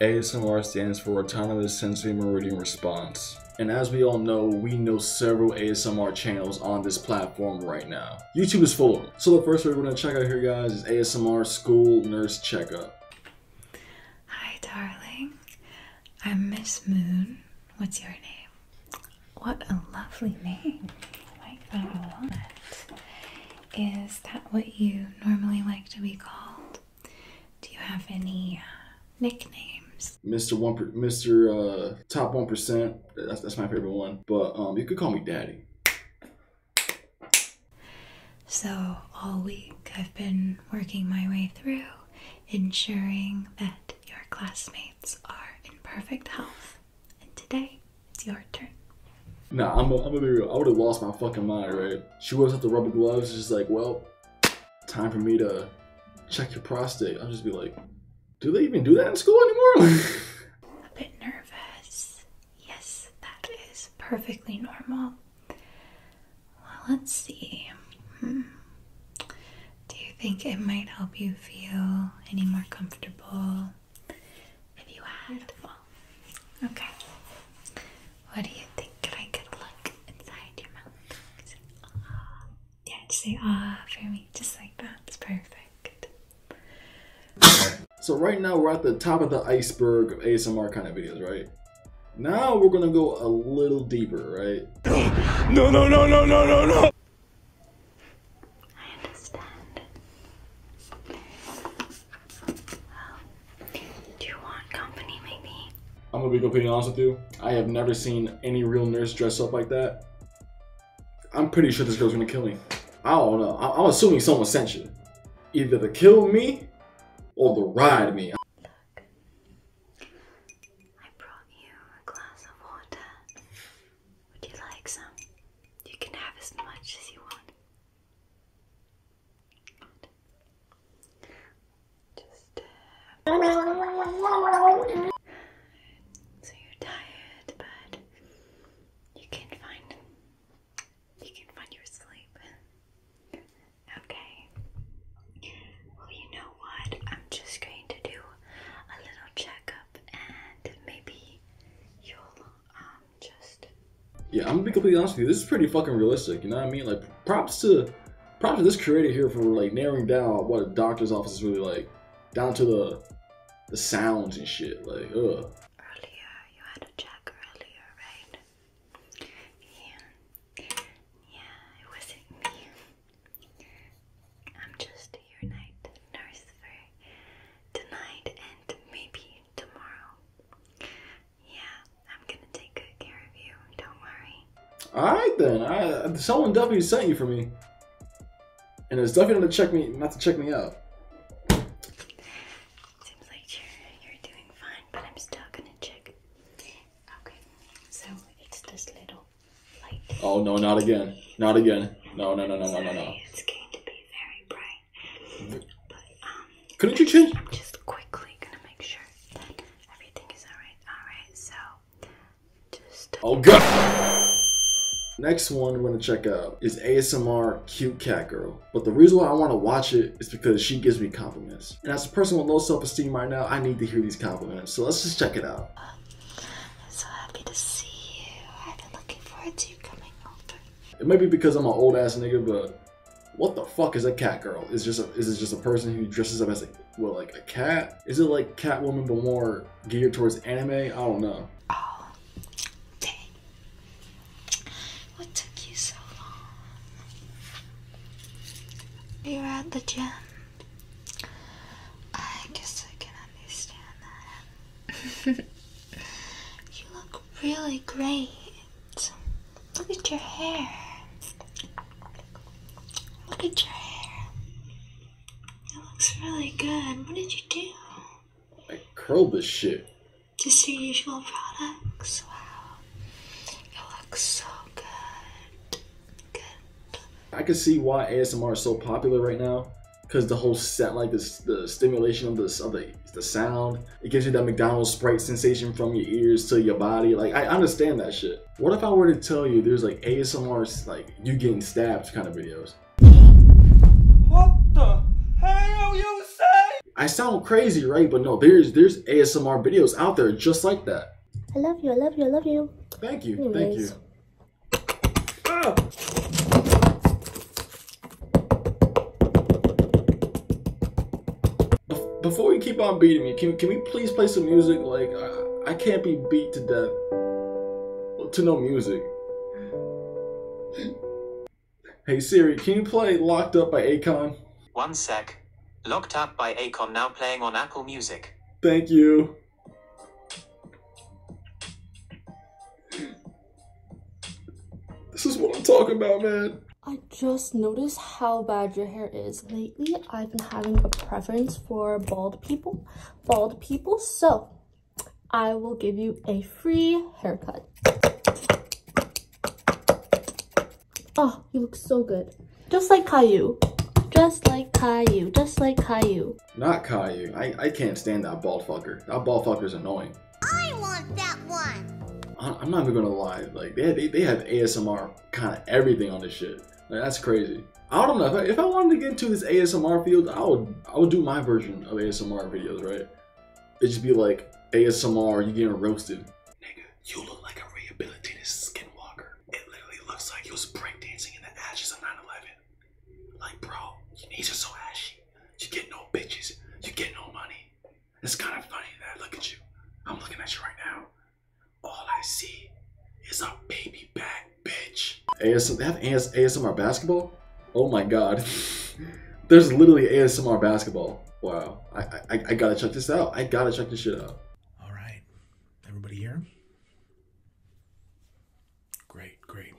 ASMR stands for Autonomous Sensory Meridian Response. And as we all know, we know several ASMR channels on this platform right now. YouTube is full of them. So the first one we're gonna check out here guys is ASMR School Nurse Checkup. Hi darling, I'm Miss Moon. What's your name? What a lovely name. Is that what you normally like to be called? Do you have any uh, nicknames? Mr. One, Mr. Uh, Top One Percent. That's my favorite one. But um, you could call me Daddy. So all week I've been working my way through, ensuring that your classmates are in perfect health. And today it's your turn. Nah, I'm, gonna be real. I would have lost my fucking mind, right? She whips out the rubber gloves. She's like, well, time for me to check your prostate. I'll just be like, do they even do that in school anymore? a bit nervous. Yes, that is perfectly normal. Well, let's see. Hmm. Do you think it might help you feel any more comfortable? Have you had? Okay. What do you think? Can I get a look inside your mouth? Yeah, just say ah for me, just like that. It's perfect. so right now we're at the top of the iceberg of ASMR kind of videos, right? Now we're gonna go a little deeper, right? No, no, no, no, no, no, no! I understand. do you want company, maybe? I'm gonna be completely honest with you. I have never seen any real nurse dress up like that. I'm pretty sure this girl's gonna kill me. I don't know. I am assuming someone sent you. Either to kill me or to ride me. Look, I brought you a glass of water. Would you like some? You can have as much as you want. Just uh, so you're tired, but you can find you can find your sleep. Okay. Well, you know what? I'm just going to do a little checkup, and maybe you'll yeah, I'm gonna be completely honest with you. This is pretty fucking realistic. You know what I mean? Like, props to, props to this creator here for like narrowing down what a doctor's office is really like, down to the, the sounds and shit. Like, ugh. Earlier, you had a check earlier, right? Yeah. Yeah, it wasn't me. I'm just your night nurse tonight and maybe tomorrow. Yeah, I'm gonna take good care of you. Don't worry. Alright then. I, someone definitely sent you for me. And it's definitely to check me not to check me out. Seems like you're you're doing fine, but I'm still gonna check. Okay, so it's this little Oh no, not again. Not again. No, no, no, no, no, no, no. It's going to be very bright. Um, Couldn't you change? I'm just quickly gonna make sure that everything is alright. Alright, so just. Oh god! Next one I'm gonna check out is ASMR Cute Cat Girl. But the reason why I wanna watch it is because she gives me compliments. And as a person with low self-esteem right now, I need to hear these compliments. So let's just check it out. Uh, I'm so happy to see you. I've been looking forward to you coming over. It might be because I'm an old ass nigga, but what the fuck is a cat girl? Is just is it just a person who dresses up as a well like a cat? Is it like Catwoman but more geared towards anime? I don't know. Oh, dang! What took you so long? You were at the gym. I guess I can understand that. you look really great. Look at your hair. Look at your hair. It looks really good. What did you do? I curled this shit. Just your usual products? Wow. It looks so good. I can see why ASMR is so popular right now because the whole set like this the stimulation of this of the, the sound it gives you that mcdonald's sprite sensation from your ears to your body like i understand that shit what if i were to tell you there's like asmr like you getting stabbed kind of videos what the hell you say i sound crazy right but no there's there's asmr videos out there just like that I love you. I love you. I love you. Thank you. Thank you. Ah! before you keep on beating me, can, can we please play some music? Like, I, I can't be beat to death to no music. hey Siri, can you play Locked Up by Akon? One sec. Locked Up by Akon now playing on Apple Music. Thank you. This is what I'm talking about, man. I just noticed how bad your hair is. Lately, I've been having a preference for bald people. Bald people, so I will give you a free haircut. Oh, you look so good. Just like Caillou. Just like Caillou. Just like Caillou. Not Caillou. I, I can't stand that bald fucker. That bald fucker's annoying. I want that one. I, am not even gonna lie. Like, they, they, they have ASMR kind of everything on this shit. that's crazy. I don't know. If I, if I wanted to get into this ASMR field, I would I would do my version of ASMR videos, right? It'd just be like ASMR, you getting roasted. Nigga, you look like a rehabilitated skinwalker. It literally looks like he was breakdancing in the ashes of 9-11. Like, bro, your knees are so ashy. You getting no bitches. You getting no money. It's kind of funny that I look at you. I'm looking at you right now. All I see is a baby back bitch. AS they have AS ASMR basketball? Oh my god. There's literally ASMR basketball. Wow. I, I, I gotta check this out. I gotta check this shit out. All right, everybody here? Great, great.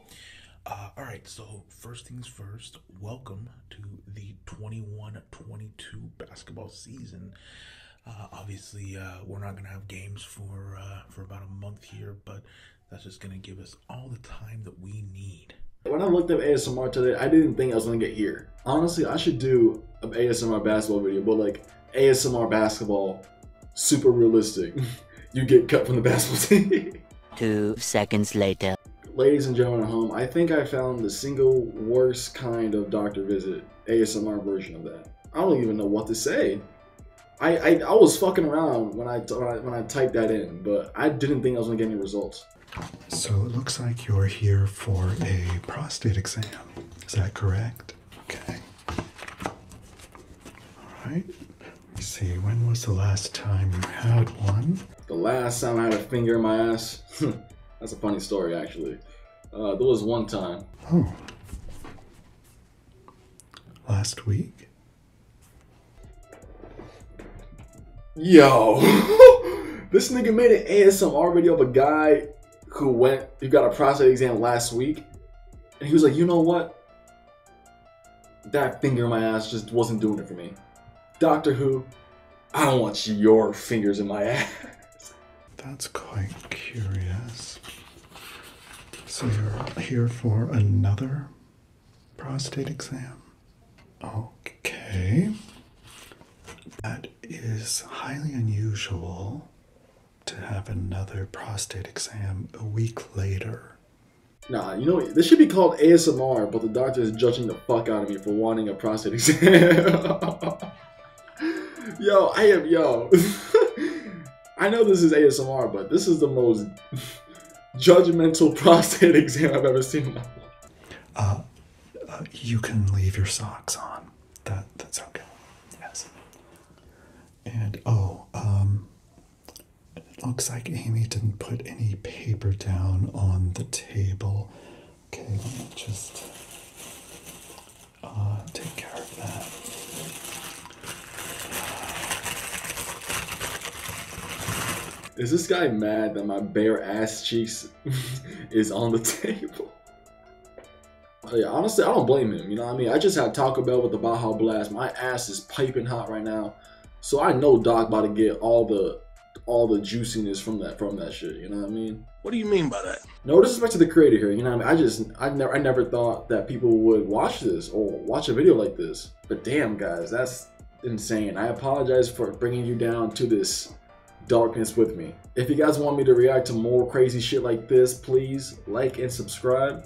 Uh, all right, so first things first, welcome to the 21 22 basketball season. Uh, obviously, uh, we're not going to have games for for about a month here, but that's just going to give us all the time that we need. When I looked up ASMR today, I didn't think I was going to get here honestly, I should do an ASMR basketball video, but like ASMR basketball, super realistic. you get cut from the basketball team. Two seconds later. Ladies and gentlemen at home, I think I found the single worst kind of doctor visit, ASMR version of that. I don't even know what to say. I, I, was fucking around when I when I typed that in, but I didn't think I was gonna get any results. So it looks like you're here for a prostate exam. Is that correct? Okay. All right. Let me see. When was the last time you had one? The last time I had a finger in my ass? That's a funny story, actually. Uh, there was one time. Oh. Last week? Yo, this nigga made an ASMR video of a guy who went, who got a prostate exam last week, and he was like, you know what? That finger in my ass just wasn't doing it for me. Doctor Who, I don't want your fingers in my ass. That's quite curious. So you're here for another prostate exam? Okay. That is highly unusual to have another prostate exam a week later. Nah, you know, this should be called ASMR, but the doctor is judging the fuck out of me for wanting a prostate exam. yo, I am, yo. I know this is ASMR, but this is the most judgmental prostate exam I've ever seen uh, uh, you can leave your socks on. That that's okay. Yes. And oh, um, it looks like Amy didn't put any paper down on the table. Okay, let me just uh, take care of that. Is this guy mad that my bare ass cheeks is on the table? Yeah, honestly, I don't blame him. You know what I mean? I just had Taco Bell with the Baja Blast. My ass is piping hot right now. So I know Doc about to get all the all the juiciness from that from that shit. You know what I mean? What do you mean by that? No disrespect to the creator here. You know what I mean? I just I never I never thought that people would watch this or watch a video like this. But damn, guys, that's insane. I apologize for bringing you down to this darkness with me. If you guys want me to react to more crazy shit like this, please like and subscribe.